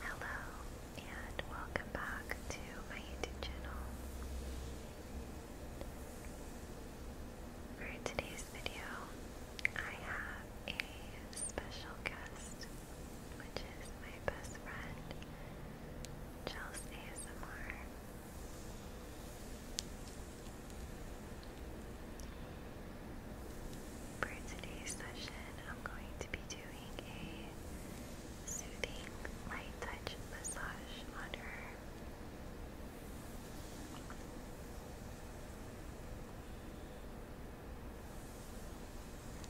Hello and welcome back to my YouTube channel. For today's video, I have a special guest, which is my best friend, Chelsea ASMR. For today's session, I'm going to be doing a soothing light touch massage on her.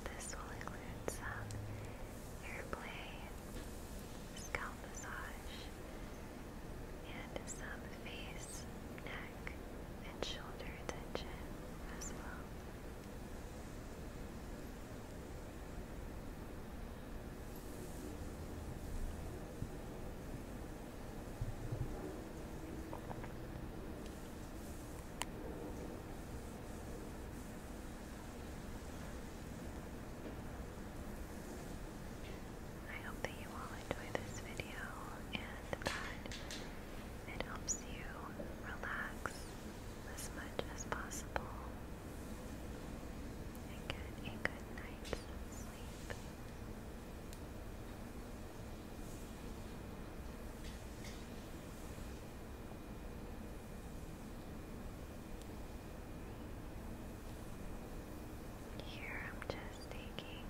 This will include some airplay, scalp massage, and some face, neck, and shoulder attention as well. I hope that you all enjoy this video and that it helps you relax as much as possible and get a good night's sleep. Here I'm just taking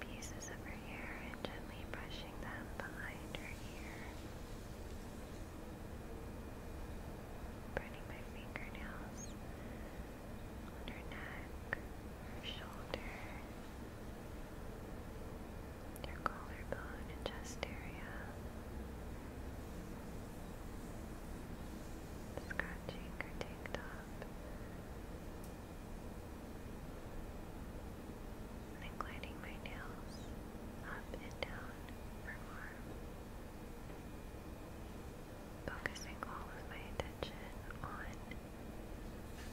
pieces of her hair and gently brushing them behind her ear. Burning my fingernails on her neck, her shoulder, her collarbone and chest area. Scratching her tank top and i gliding my nails up and down for more. Focusing all of my attention on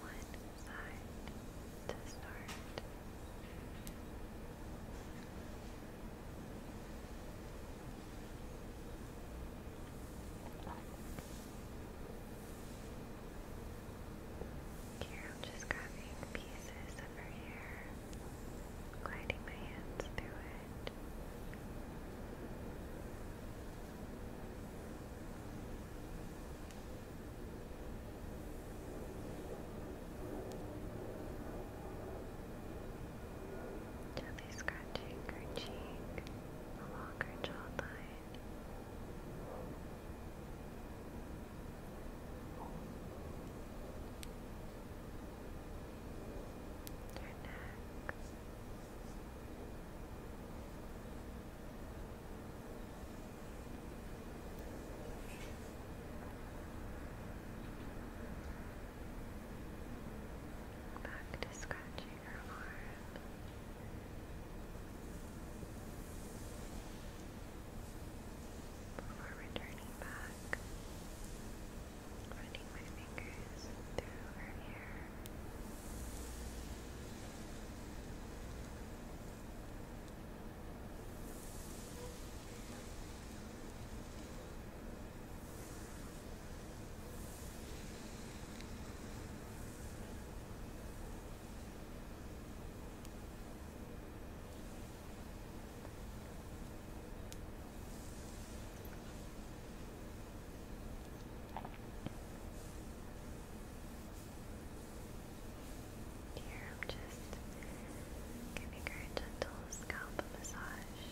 one side to start. Here i just grabbing pieces of her hair, gliding my hands through it. Gently scratching her cheek along her jawline. Your neck. Back to scratching her arm. Before returning back, running my fingers through her hair. Here I'm just giving her a gentle scalp massage.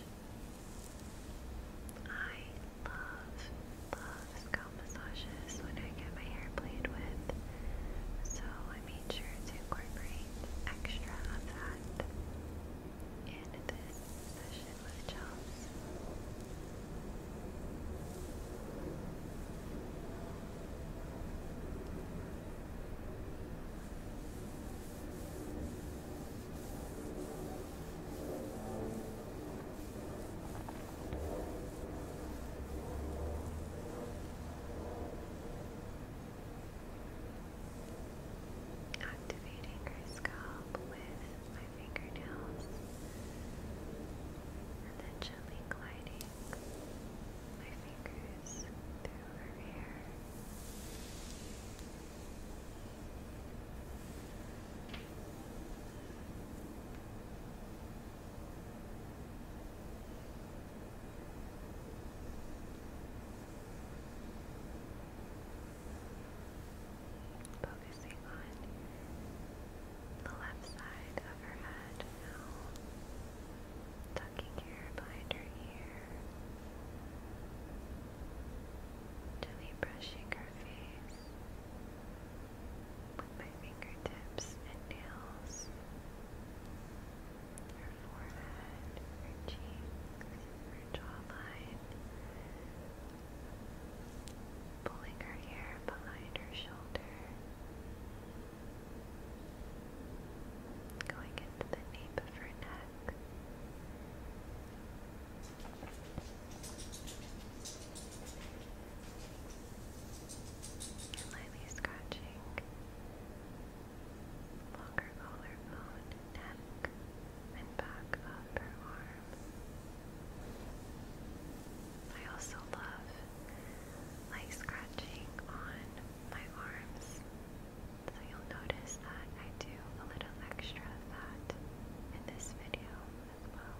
I love, love, scalp massages when I get my hair played with, so I made sure to incorporate extra of that in this session with Charles. Activating her scalp with my fingernails and then gently gliding my fingers through her hair. Focusing on the left side of her head now, tucking hair behind her ear, gently brushing her face with my fingertips and nails, her forehead, her cheeks, her jawline, pulling her hair behind her shoulder, going into the nape of her neck lightly scratching longer collarbone, neck, and back of arm. I also love like scratching on my arms, so you'll notice that I do a little extra of that in this video as well.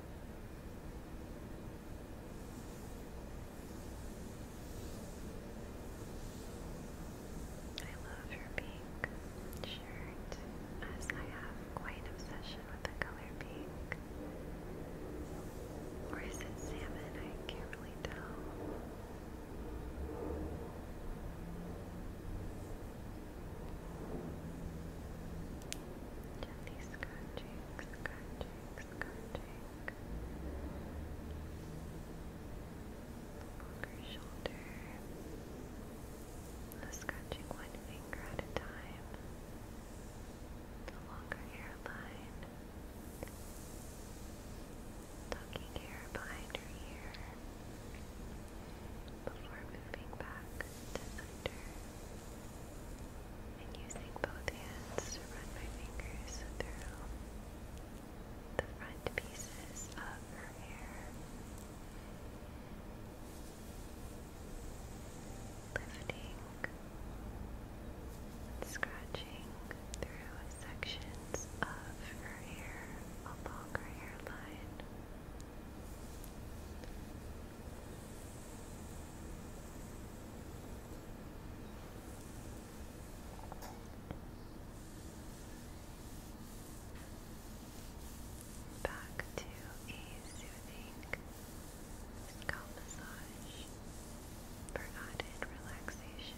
I love your pink shirt, as I have quite an obsession with the color pink. Or is it salmon? I can't really tell. Gently scratching, scratching, scratching along shoulder. Scratching one finger at a time along her hairline. Tucking hair behind her ear before moving back to center and using both hands to run my fingers through the front pieces of her hair, lifting and scratching through sections of her hair along her hairline. Back to a soothing scalp massage for added relaxation.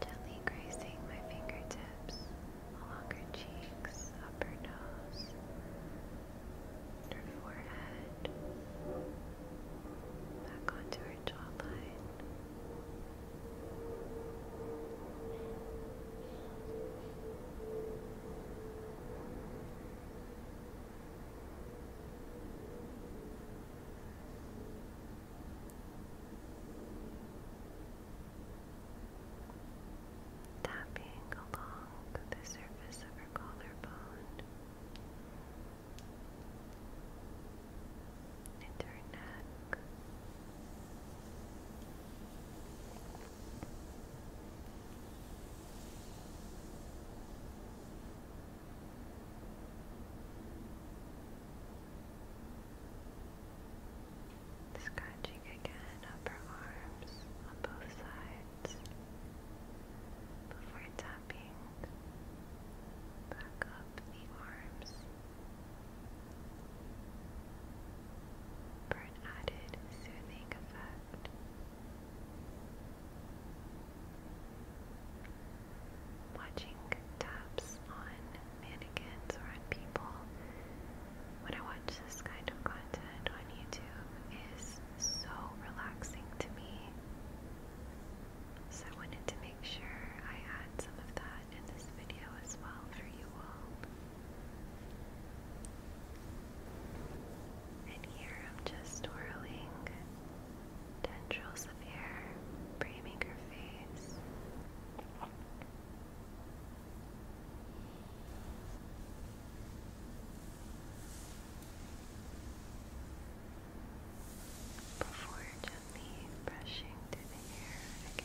Gently grazing my fingertips along her cheeks, upper nose, her forehead, back onto her jawline. Tapping along the surface of her collarbone into neck. Scratching again upper arms on both sides before tapping back up the arms for added soothing effect. Watching taps on mannequins or on people when I watch this kind of content on YouTube is so relaxing to me. So I wanted to make sure I add some of that in this video as well for you all. And here I'm just whirling tendrils of hair, framing her face. Before gently brushing through the hair again.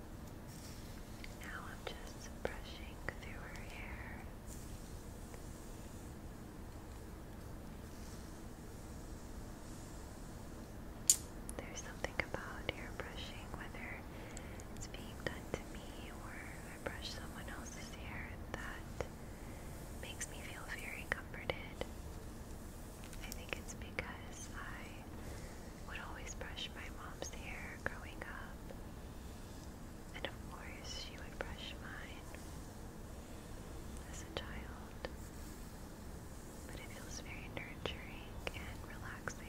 Now I'm just brushing through her hair. There's something about hair brushing, whether it's being done to me or I brush someone else's hair, that makes me feel very comforted. I think it's because I would always brush my mom's hair growing up. And of course, she would brush mine as a child. But it feels very nurturing and relaxing.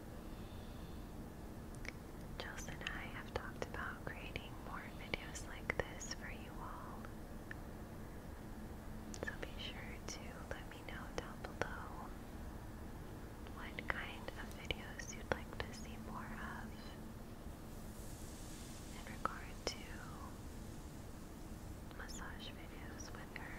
Jules and I have talked about creating more videos like this for you all. So be sure to let me know down below what kind of videos you'd like to see more of in regard to massage videos with her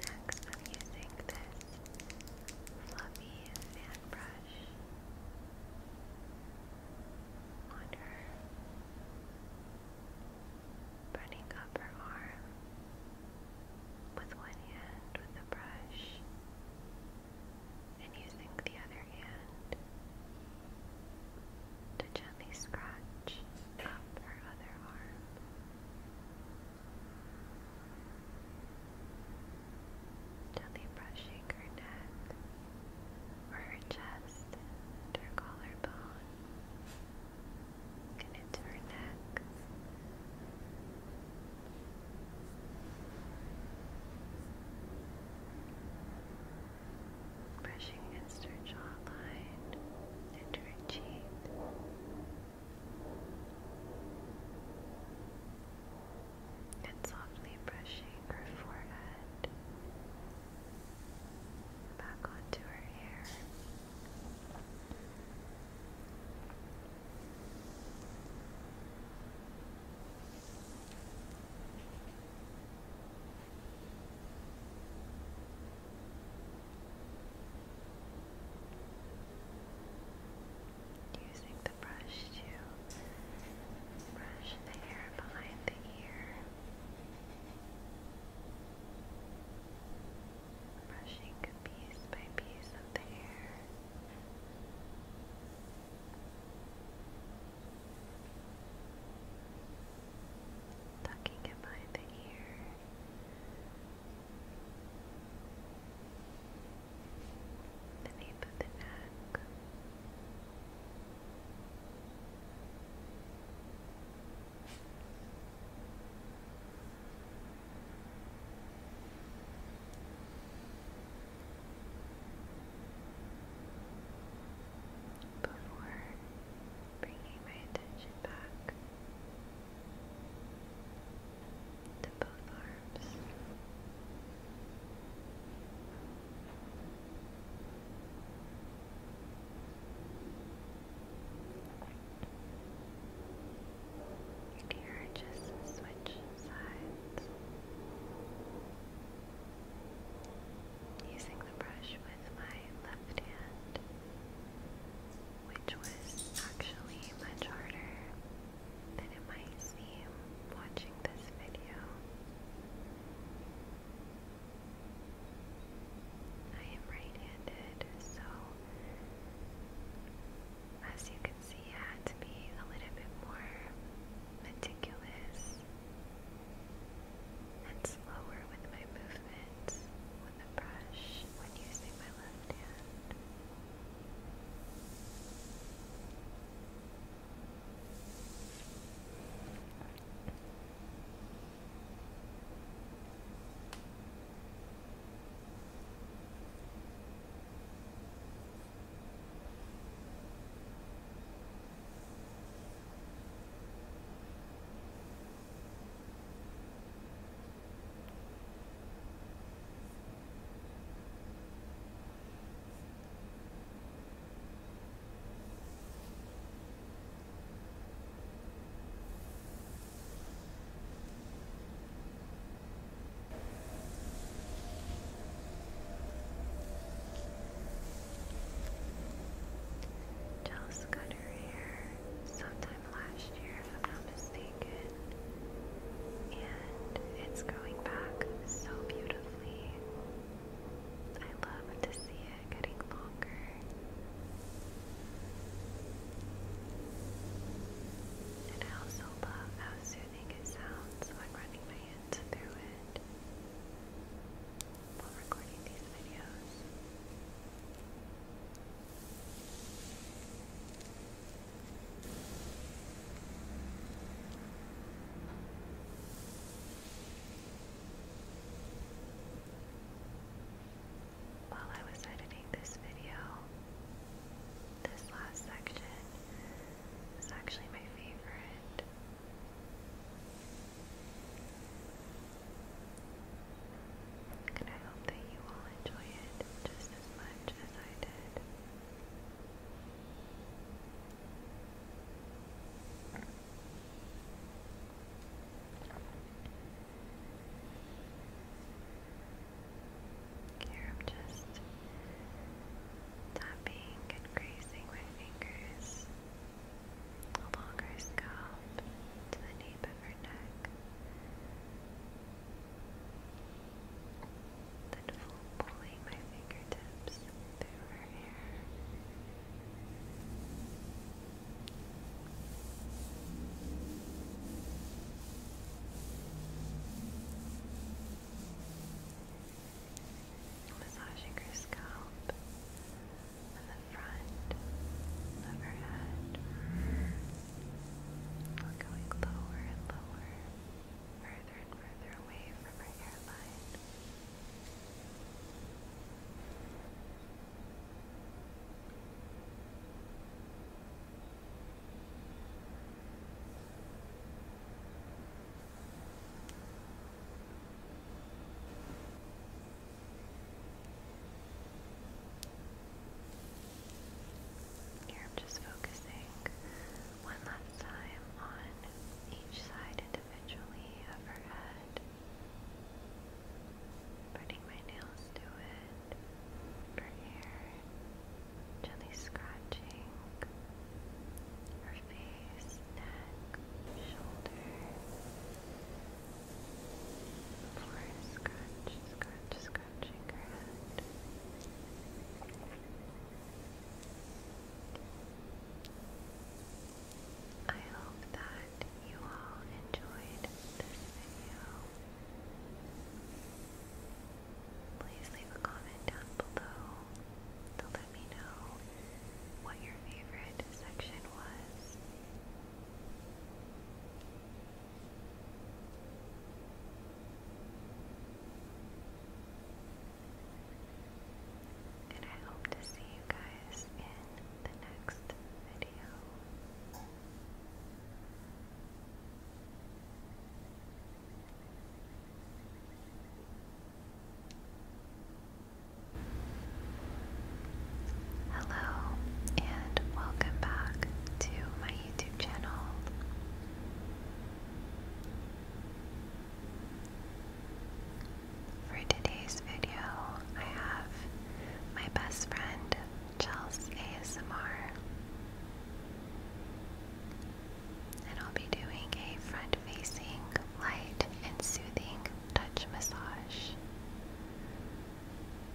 Next, I'm using this fluffy fan brush on her, burning up her arm with one hand with the brush and using the other hand to gently gently scratch up her other arm. Gently brushing her neck her chest her collarbone into her neck. Brushing against her jawline and her brushing her forehead back onto her hair. Using the brush to brush the hair behind the ear. Brushing piece by piece of the hair. Tucking it behind the ear. Beneath the neck. Before bringing my attention back to both arms. And just switch sides using the brush with my left hand which was actually much harder than it might seem watching this video. I am right-handed, so as you can see, I had to be a little bit more meticulous and slower with my movements with the brush when using my left hand. Just got her hair so last year, if I'm not mistaken. And it's going back so beautifully. I love to see it getting longer. I also love how soothing it sounds when running my hands through it while recording these videos. While I was editing this video, this last section is actually my favorite. And I hope that you all enjoy it just as much as I did. Here I'm just tapping and grazing my fingers along her scalp to the nape her neck. Then pulling my fingertips through her Massaging her scalp, on the front of her head. going lower and lower, further and further away from her hairline. Here i just focusing one last time on each side individually of her head. Putting my nails to it, her hair, gently scratching her face, neck, shoulder. For I hope that you all enjoyed this video. Please leave a comment down below to let me know what your favorite section was. And I hope to see you guys in the next video. Hello, and welcome back to my YouTube channel. For today's video, I have my best friend, Chels ASMR, and I'll be doing a front facing, light, and soothing touch massage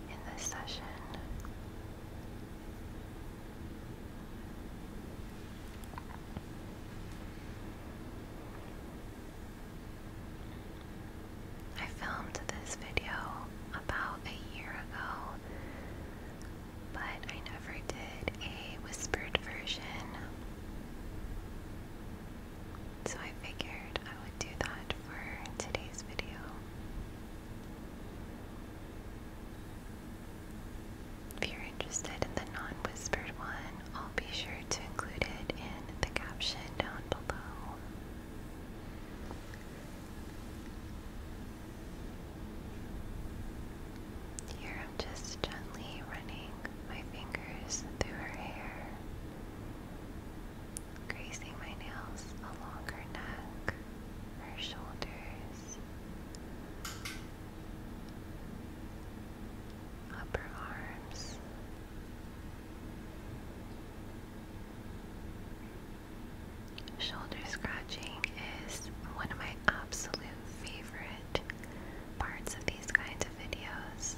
in this session. I filmed this video about a year ago, but I never did a whispered version. So I figured I would do that for today's video. If you're interested in the non whispered one, I'll be sure to include it in the caption down below. Here I'm just gently running my fingers through her hair. Gracing my nails along her neck, her shoulders, upper arms. Shoulder scratching is one of my absolute favorite parts of these kinds of videos.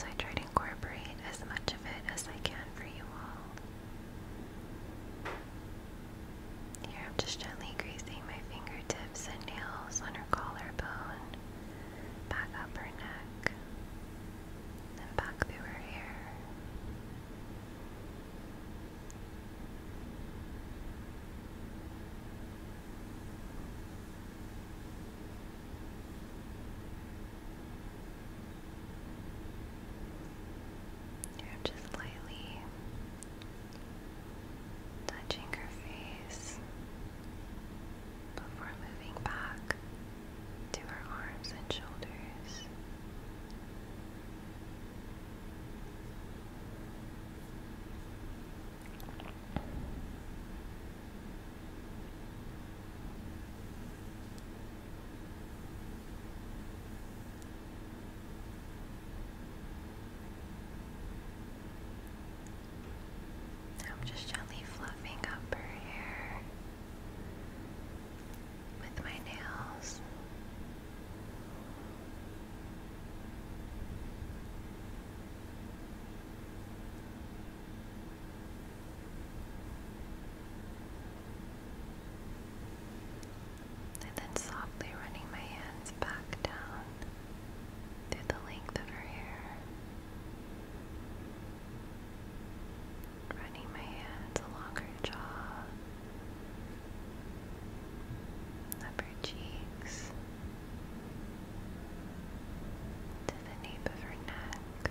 So I try to incorporate as much of it as I can for you all. Here I'm just gently greasing my fingertips and nails on her collarbone, back up her neck, and back through her hair. I'm just lightly touching her face before moving back to her arms and shoulders. I'm just gently fluffing up her hair with my nails. And then softly running my hands back down through the length of her hair. Running my hands along her jaw, up her cheeks, to the nape of her neck.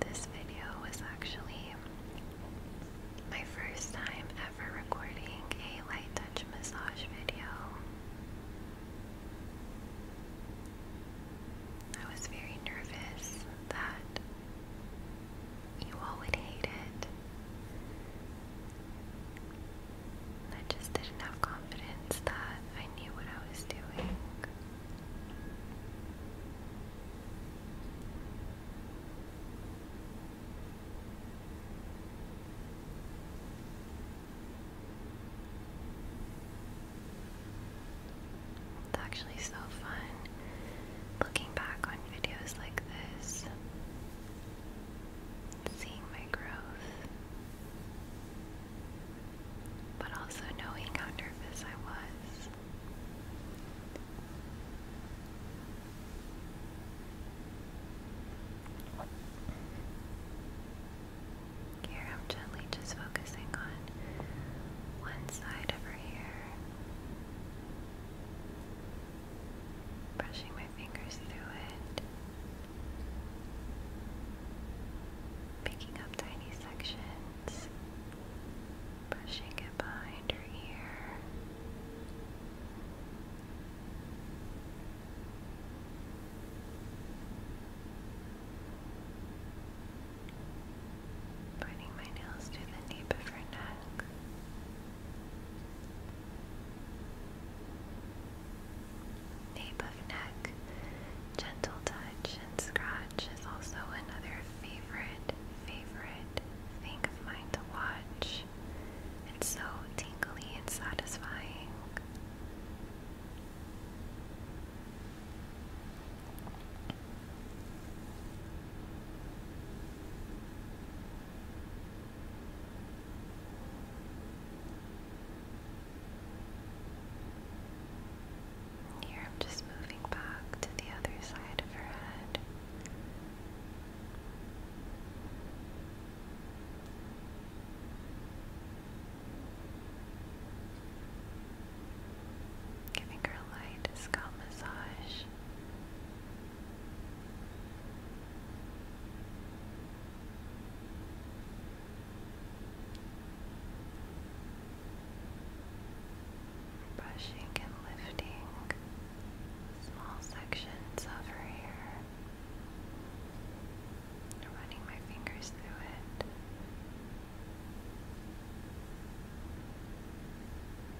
This video was actually my first time ever recording a light touch massage video. I was very nervous that you all would hate it. I just didn't have confidence that I knew what I was doing. It's actually so fun looking back on videos like this, seeing my growth, but also knowing how nervous I was. Here, I'm gently just focusing on one side over here brushing my fingers through it, picking up tiny sections, brushing it behind her ear. Burning my nails to the nape of her neck. Nape of neck, gentle touch and scratch is also another favorite, favorite thing of mine to watch. It's so tingly and satisfying. Here I'm just moving back to the other side of her head. Giving her a light scalp massage. Brushing and lifting small sections of her hair, running my fingers through it.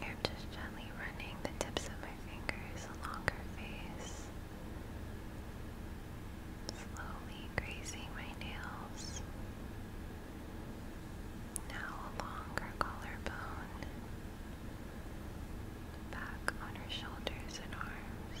I'm just gently running the tips of my fingers along her face, slowly grazing my nails, now along her collarbone, back on her shoulders and arms.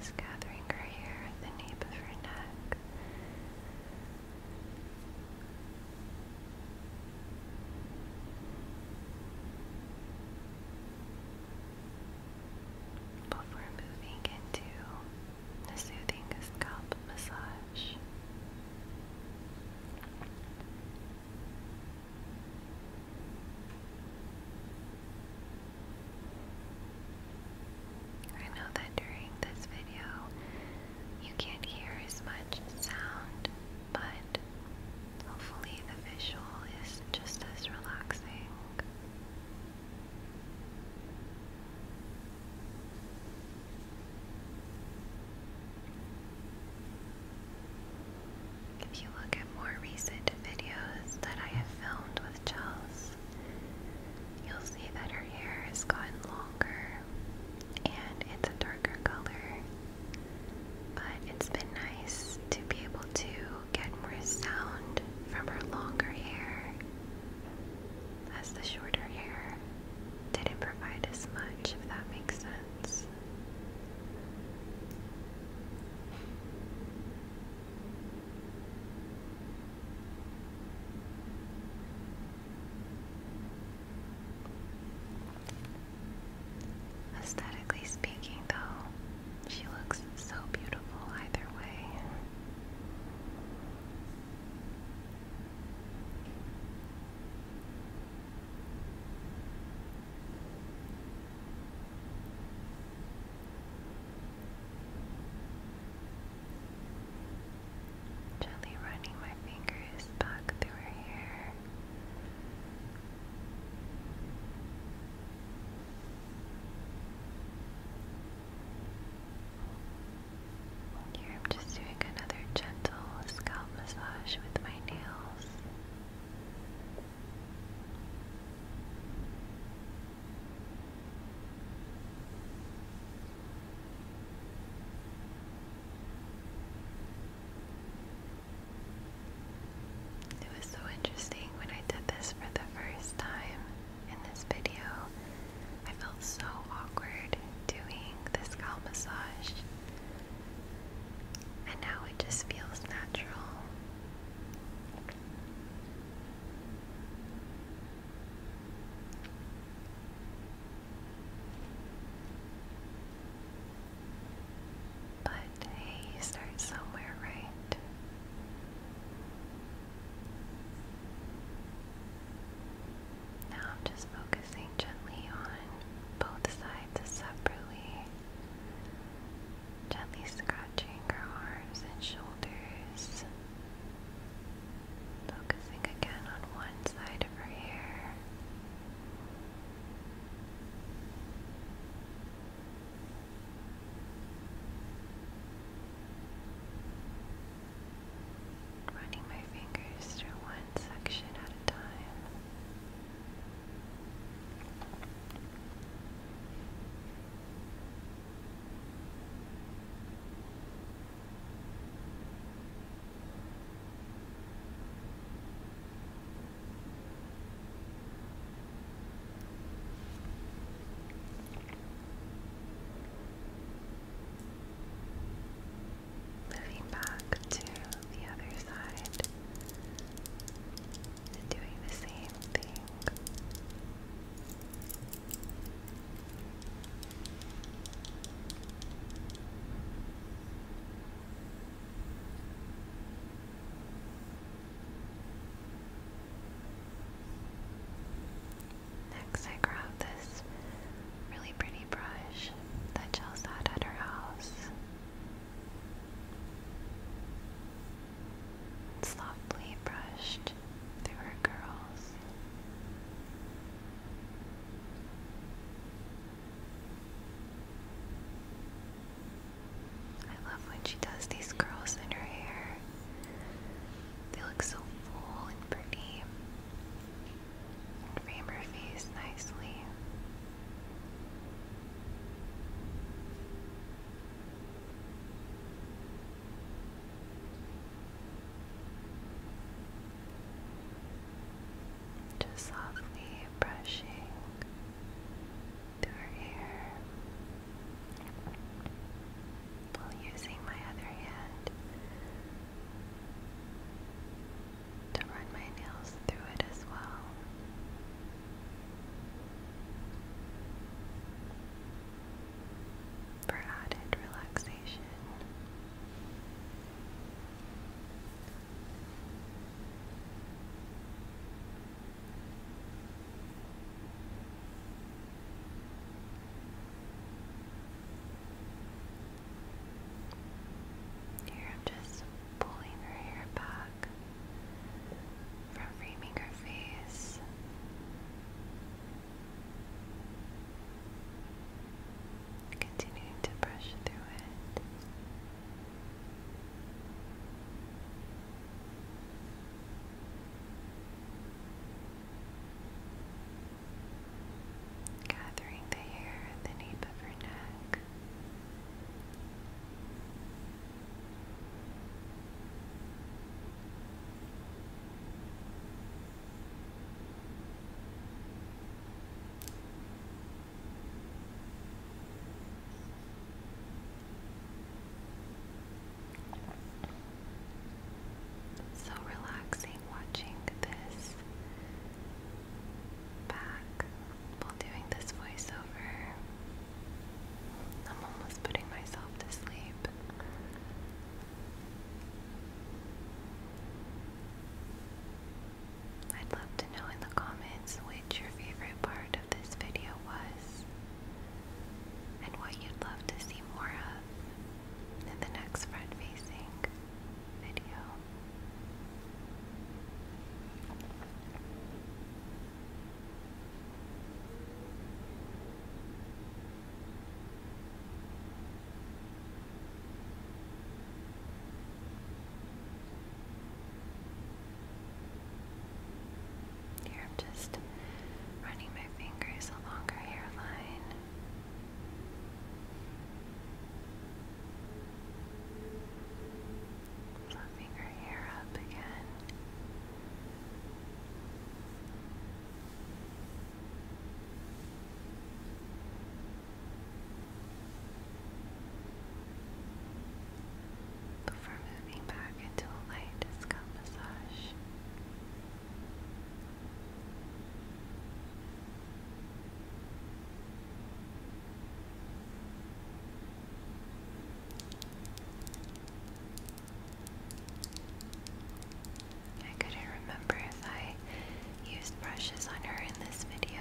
Just gathering her hair at the nape of her neck. Before moving into the soothing scalp massage much. I know that during this video you can't hear as much sound, but hopefully the visual is just as relaxing. If you look at more recent videos that I have filmed with Chels, you'll see that her hair has gotten longer and it's a darker color. But it's been nice to be able to get more sound from her longer hair as the shorter hair didn't provide as much, if that makes sense. Aesthetically speaking, though, she looks so beautiful either way. Gently running my fingers back through her hair. I'm just doing another gentle scalp massage with my nails. It was so interesting when I did this for the first time in this video. I felt so awkward doing this scalp massage, and now it just feels natural. But hey, you start somewhere, right? Now just focusing gently on both sides separately, gently scratching her arms and shoulders, focusing again on one side of her hair running my fingers through one section at a time moving back to the other side doing the same thing. Next, I grab this really pretty brush that Chelsea had at her house. softly brushed through her curls. I love when she does these curls in her hair. They look so full and pretty. Frame her face nicely. Just softly brushing through her hair while using my other hand to run my nails through it as well. For added relaxation, here I'm just pulling her hair back from framing her face. Continuing to brush through it gathering the hair at the nape of her neck. So relaxing watching this back while doing this voiceover. I'm almost putting myself to sleep. I'd love to know in the comments which your favorite part of this video was and what you'd love to see more of in the next front facing video. Here I'm just running my fingers along her hairline. Fluffing her hair up again. Before moving back into a light scalp massage. I couldn't remember if I used brushes on her in this video,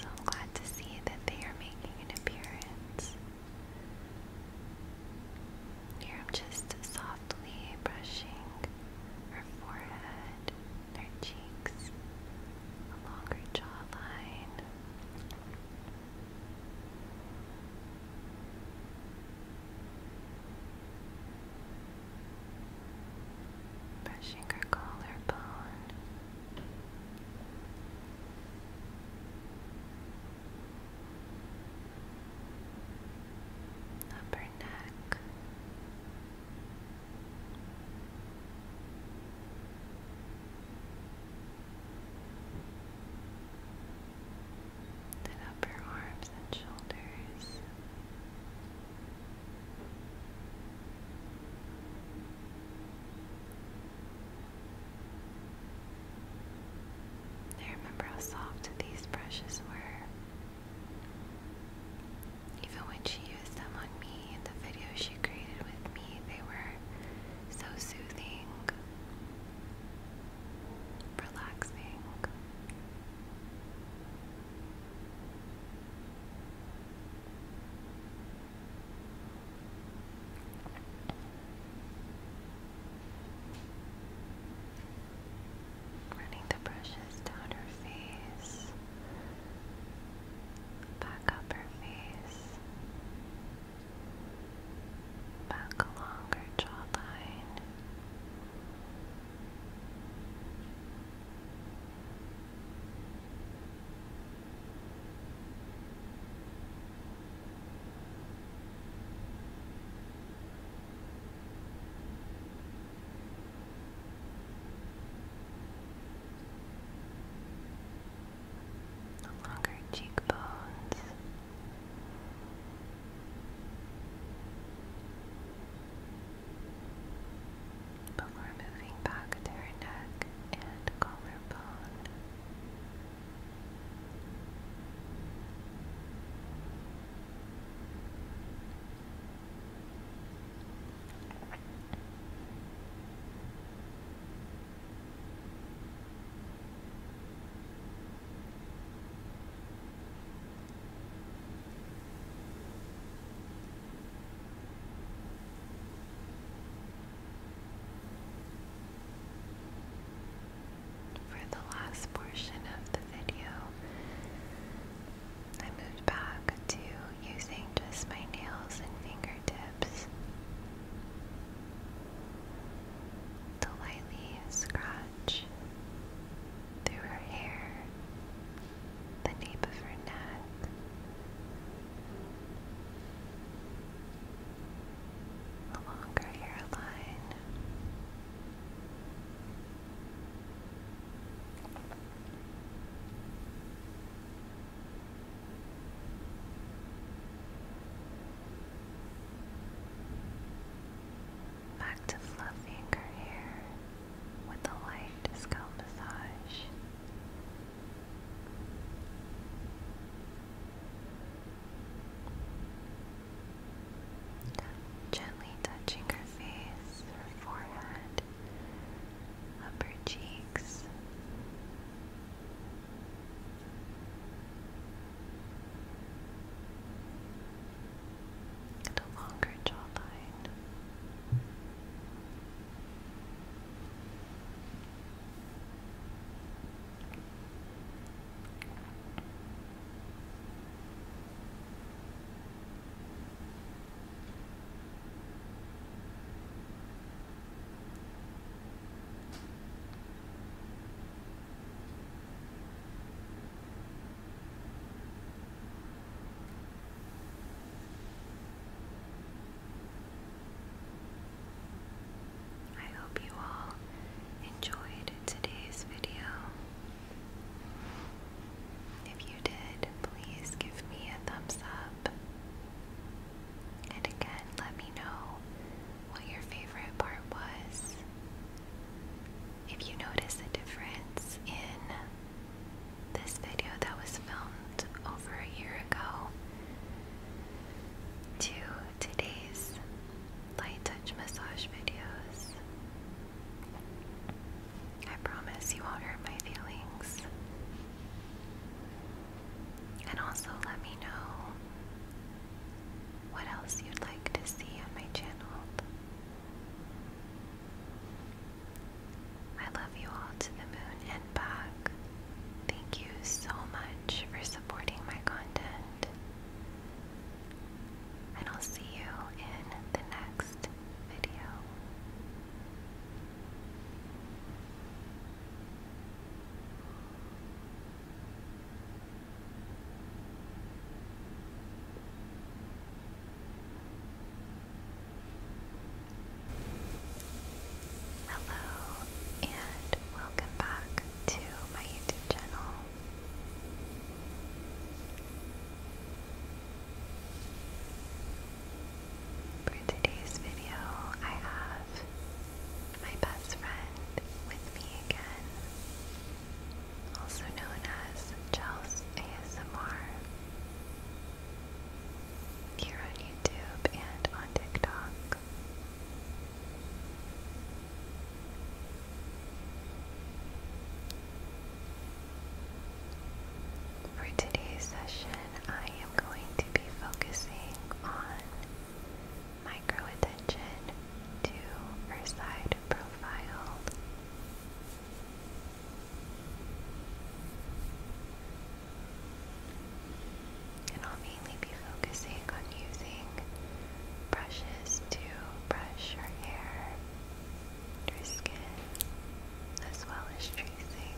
so I'm glad to see that they are making an appearance. Here I'm just softly brushing her forehead. Their cheeks, along her jawline. Brushing her collarbone. Upper neck, then up arms and shoulders. I remember how soft these brushes were. Even when she used them on me in the videos she created with me, they were so soothing, relaxing. Running the brushes down her face back up her face, back along her jawline longer cheekbones. But we're moving back to her neck and collarbone. For the last portion of the video, I moved back to using just my nails and fingertips to lightly scratch through her hair, the nape of her neck. Along her hairline, Back to fluffing her hair with a light scalp massage. Gently touching her face, her forehead, upper cheeks. a longer jawline. I hope you all enjoyed today's video. If you did, please give me a thumbs up. And again, let me know what your favorite part was. If you notice a difference in this video that was filmed over a year ago to today's light touch massage videos, I promise you won't hurt my feelings. And also let me know what else you'd like to see on my channel. I love you all to the moon and back. Thank you so much for supporting my content. And I'll see you in the next video. Hello, and welcome back to my YouTube channel. For today's video, I have my best friend with me again, also known as Chels ASMR, here on YouTube and on TikTok. For today's session, I am going to be focusing on micro attention to her side profile. And I'll mainly be focusing on using brushes to brush your hair your as well as tracing.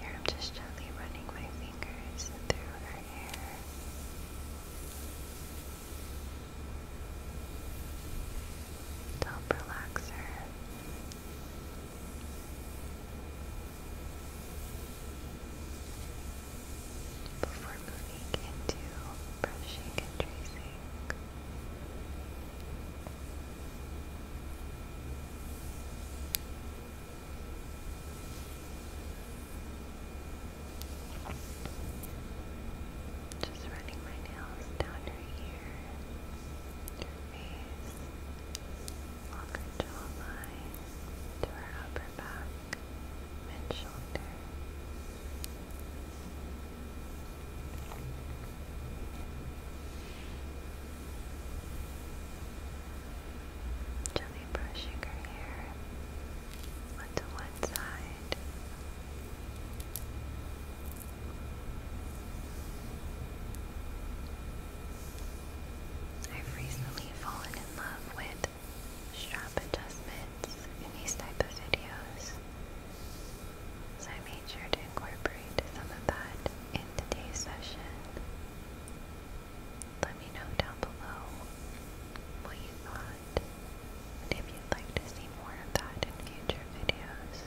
Here I'm just gently running my fingers through her hair top relaxer. Before moving into brushing and tracing, just running my nails down ears, your face, along her jawline, to her upper back, mid Gently brushing her hair onto one side. I've recently fallen in love with strap adjustments in these type of videos. So I made sure to incorporate some of that in today's session. Let me know down below what you thought if you'd like to see more of that in future videos.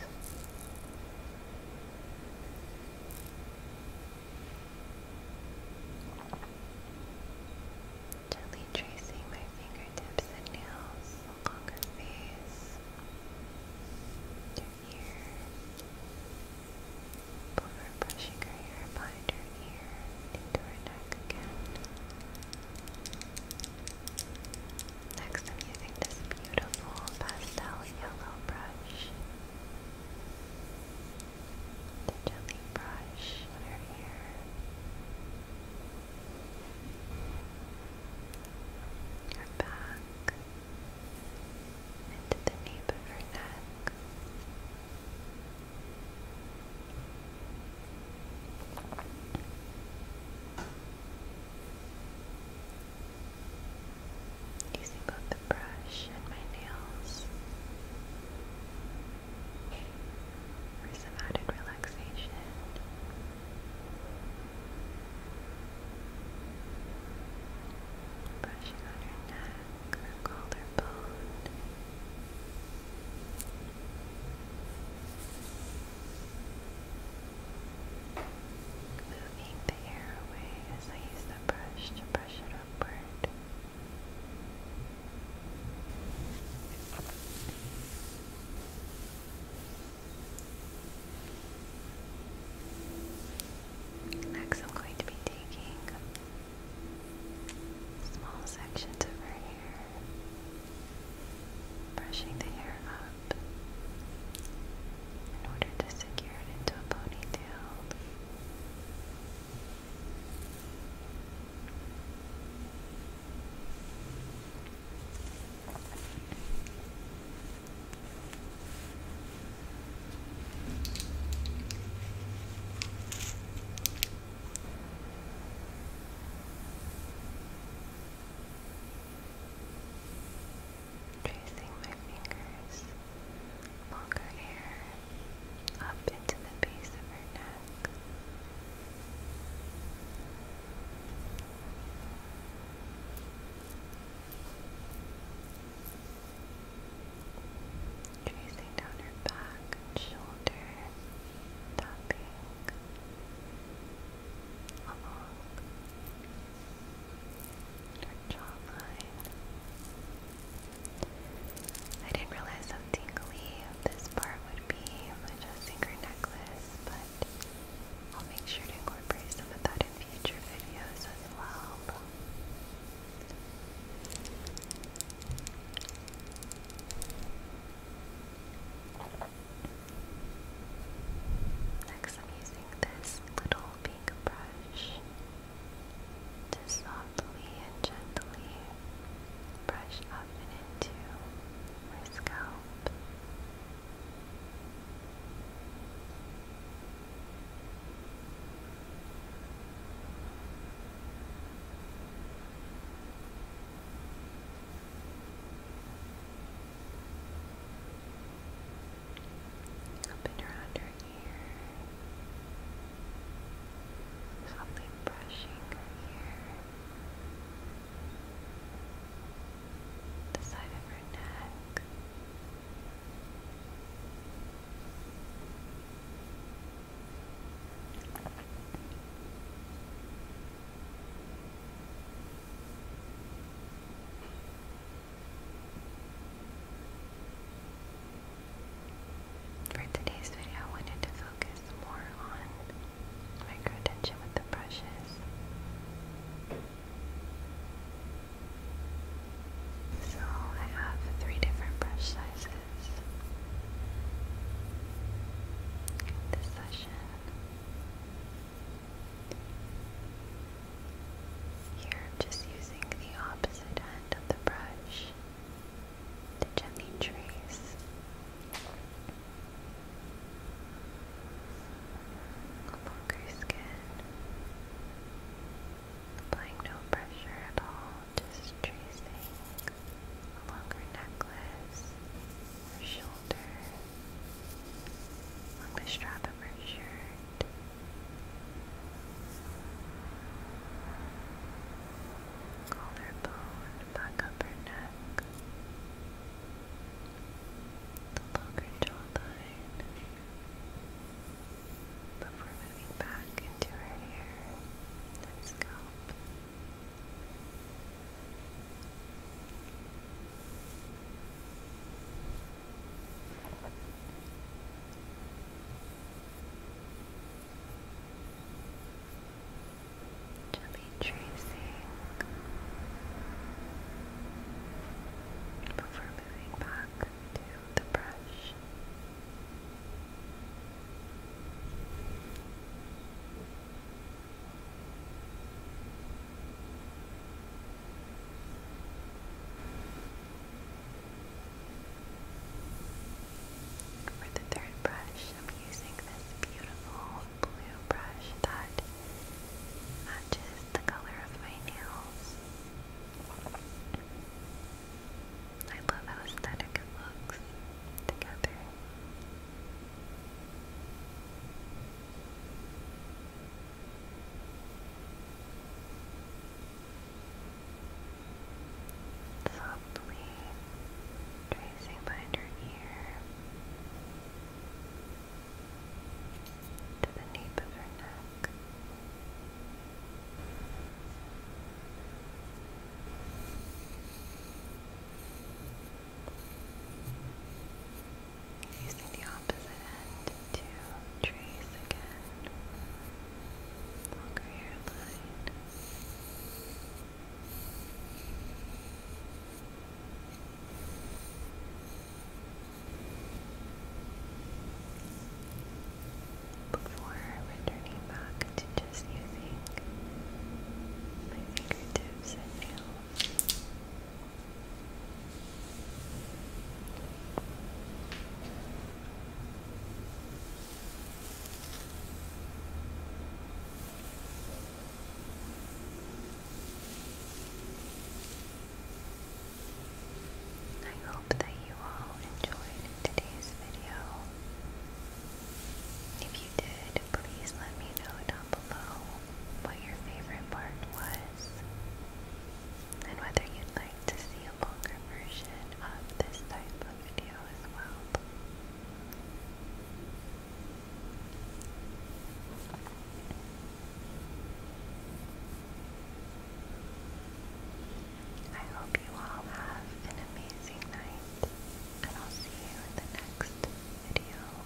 Gently tracing my fingertips and nails along her face, her ear, over brushing her hair behind her ear into her neck again. Next, I'm using this beautiful pastel yellow brush. The jelly brush under here. Her back. Into the nape of her neck. Using both the brush and my nails for some added relaxation. Brushing on her neck, her collarbone. Moving the hair away as I use the brush to brush it upward. Next, I'm going to be taking small sections of her hair brushing the hair up in order to secure it into a ponytail tracing my fingers along hair up into the base of her neck. Tracing down her back shoulder, tapping along her I didn't realize how tingly this part would be adjusting her necklace, but I'll make sure to incorporate some of that in future videos as well. Next, I'm using this little pink brush to softly and gently brush up and into my scalp. Up and her ear. Something brushing her ear. The side of her neck. For today's video, I wanted to focus more on micro tension with the brushes. So I have three different brush sizes this session. Here I'm just using the opposite end of the brush to gently trace. Longer skin. Applying no pressure at all, just tracing a longer necklace or shoulder, along the strap of her shirt. Collarbone, back up her neck, along her jawline, before moving back into her hair and scalp. To be before moving back to the brush. For the third brush, I'm using this beautiful blue brush that matches the color of my nails. I love how aesthetic it looks together. Softly tracing behind her ear to the nape of her neck. Using the opposite end to trace again longer hairline. Before returning back to just using my fingertips and nails. I hope that you all enjoyed today's video. If you did, please let me know down below what your favorite part was and whether you'd like to see a longer version of this type of video as well. I hope you all have an amazing night, and I'll see you in the next video.